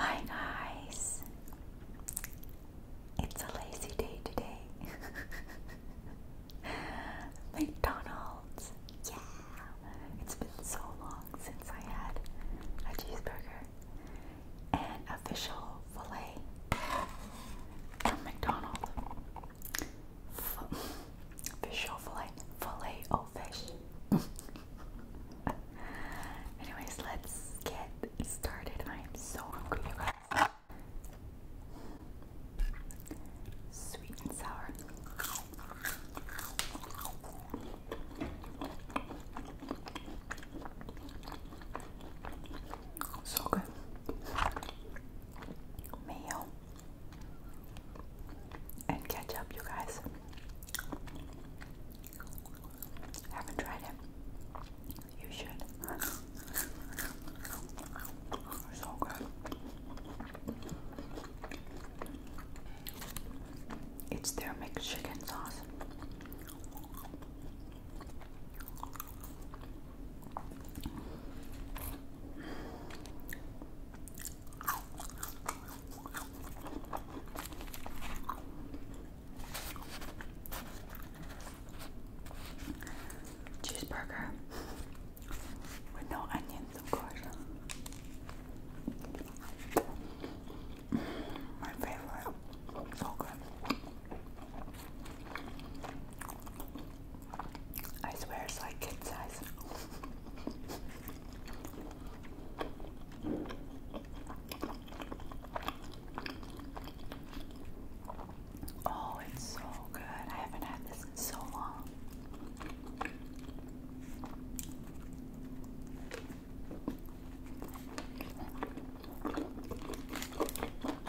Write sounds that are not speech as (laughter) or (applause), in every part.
Hi guys, it's a lazy day today. (laughs) McDonald's, yeah, it's been so long since I had a cheeseburger and official filet from McDonald's fish or fillet, fillet or fish. (laughs) Anyways, let's get started. I am so hungry, guys. Sweet and sour. So good. Mayo and ketchup, you guys. Haven't tried it. You should. It's their mixed chicken sauce. Cheeseburger with no onions, of course. My favorite. So good. I swear it's like kid size. Oh, it's so good. I haven't had this in so long.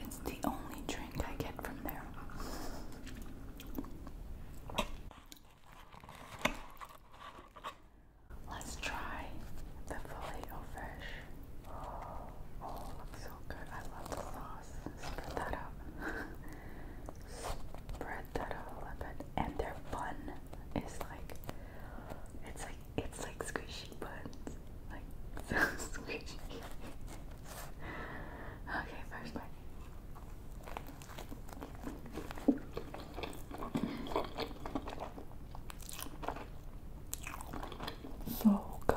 It's the only drink I get from there. Let's try the filet o fish. Oh, looks so good. I love the sauce. Spread that out. (laughs) Spread that a little bit. And their bun is like it's like it's like squishy buns, like (laughs) so squishy. okay, first bite. So good.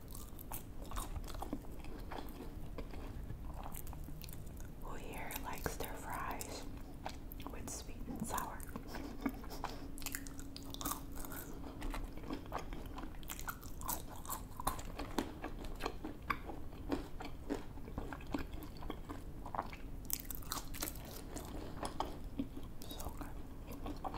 Who here likes their fries with sweet and sour? So good.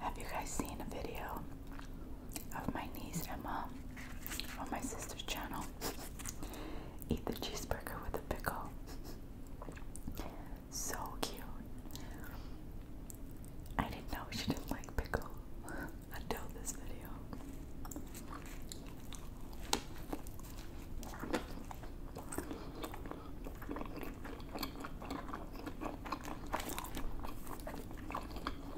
Have you guys seen a video of my niece Emma on my sister's channel. Eat the cheeseburger with a pickle. So cute. I didn't know she didn't like pickle (laughs) until this video.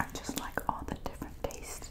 I just like all the different tastes.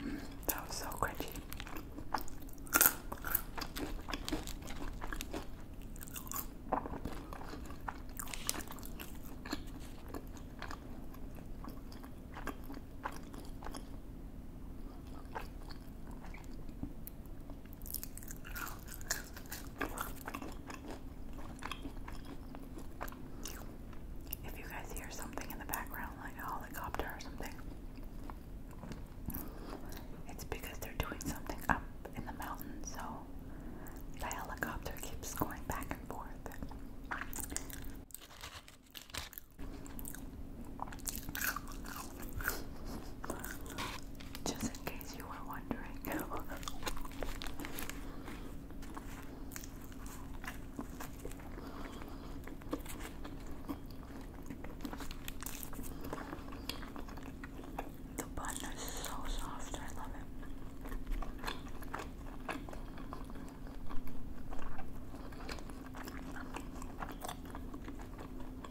Mm, that was so crunchy. If you guys hear something in the background, like a helicopter or something, it's because they're doing something up in the mountain, so the helicopter keeps going back and forth. Just in case you were wondering. The bun is so soft, I love it.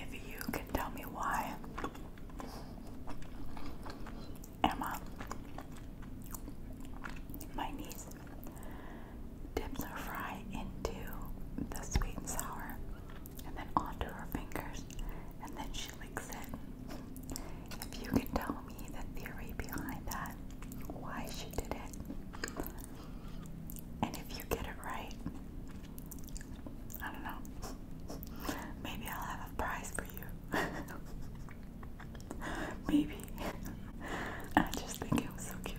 If you can tell me why Emma, my niece, dips her fry into the sweet and sour and then onto her fingers and then she licks it. If you can tell me the theory behind that, why she did it, and if you get it right, I don't know. (laughs) Maybe I'll have a prize for you. (laughs) Maybe. I just think it was so cute.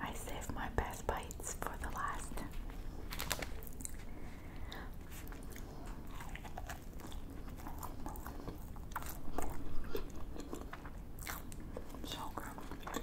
I save my best bites for the last. So good.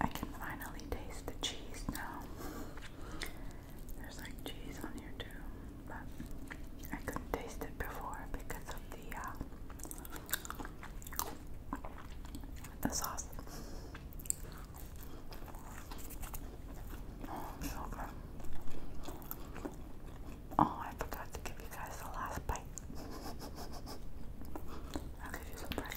I can finally taste the cheese now. There's like cheese on here too, but I couldn't taste it before because of the uh, the sauce. Oh, so Oh, I forgot to give you guys the last bite. (laughs) I'll give you some bread.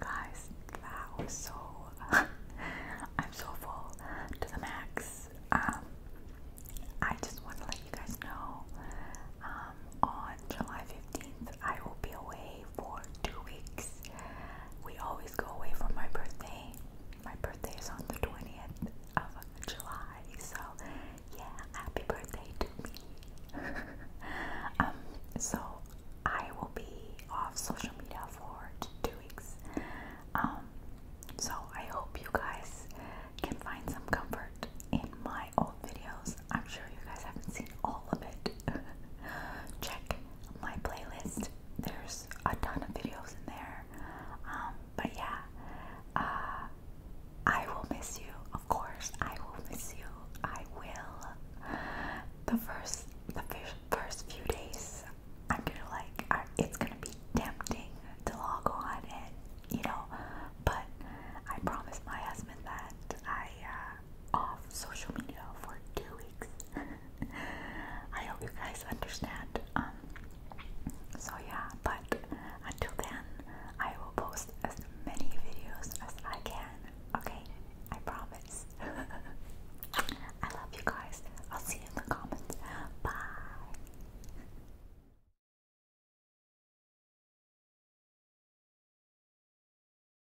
Guys, that was so. (laughs) I'm so full to the max. Um, I just want to let you guys know um, on July 15th, I will be away for two weeks. We always go away for my birthday. My birthday is on the 20th of July, so yeah, happy birthday to me. (laughs) um, so I will be off social media for two weeks. Um, so I hope you guys can find some comfort in my old videos. I'm sure you guys haven't seen all of it, (laughs) check my playlist. There's a ton of videos in there. Um, but yeah, uh, I will miss you. Of course, I will miss you. I will. The first, the first few days, I'm gonna like. I, it's gonna be tempting to log on, and you know. But I promise my husband that I uh, off social media for two (laughs) I hope you guys understand. Um, so yeah, but until then, I will post as many videos as I can. Okay, I promise. (laughs) I love you guys. I'll see you in the comments. Bye.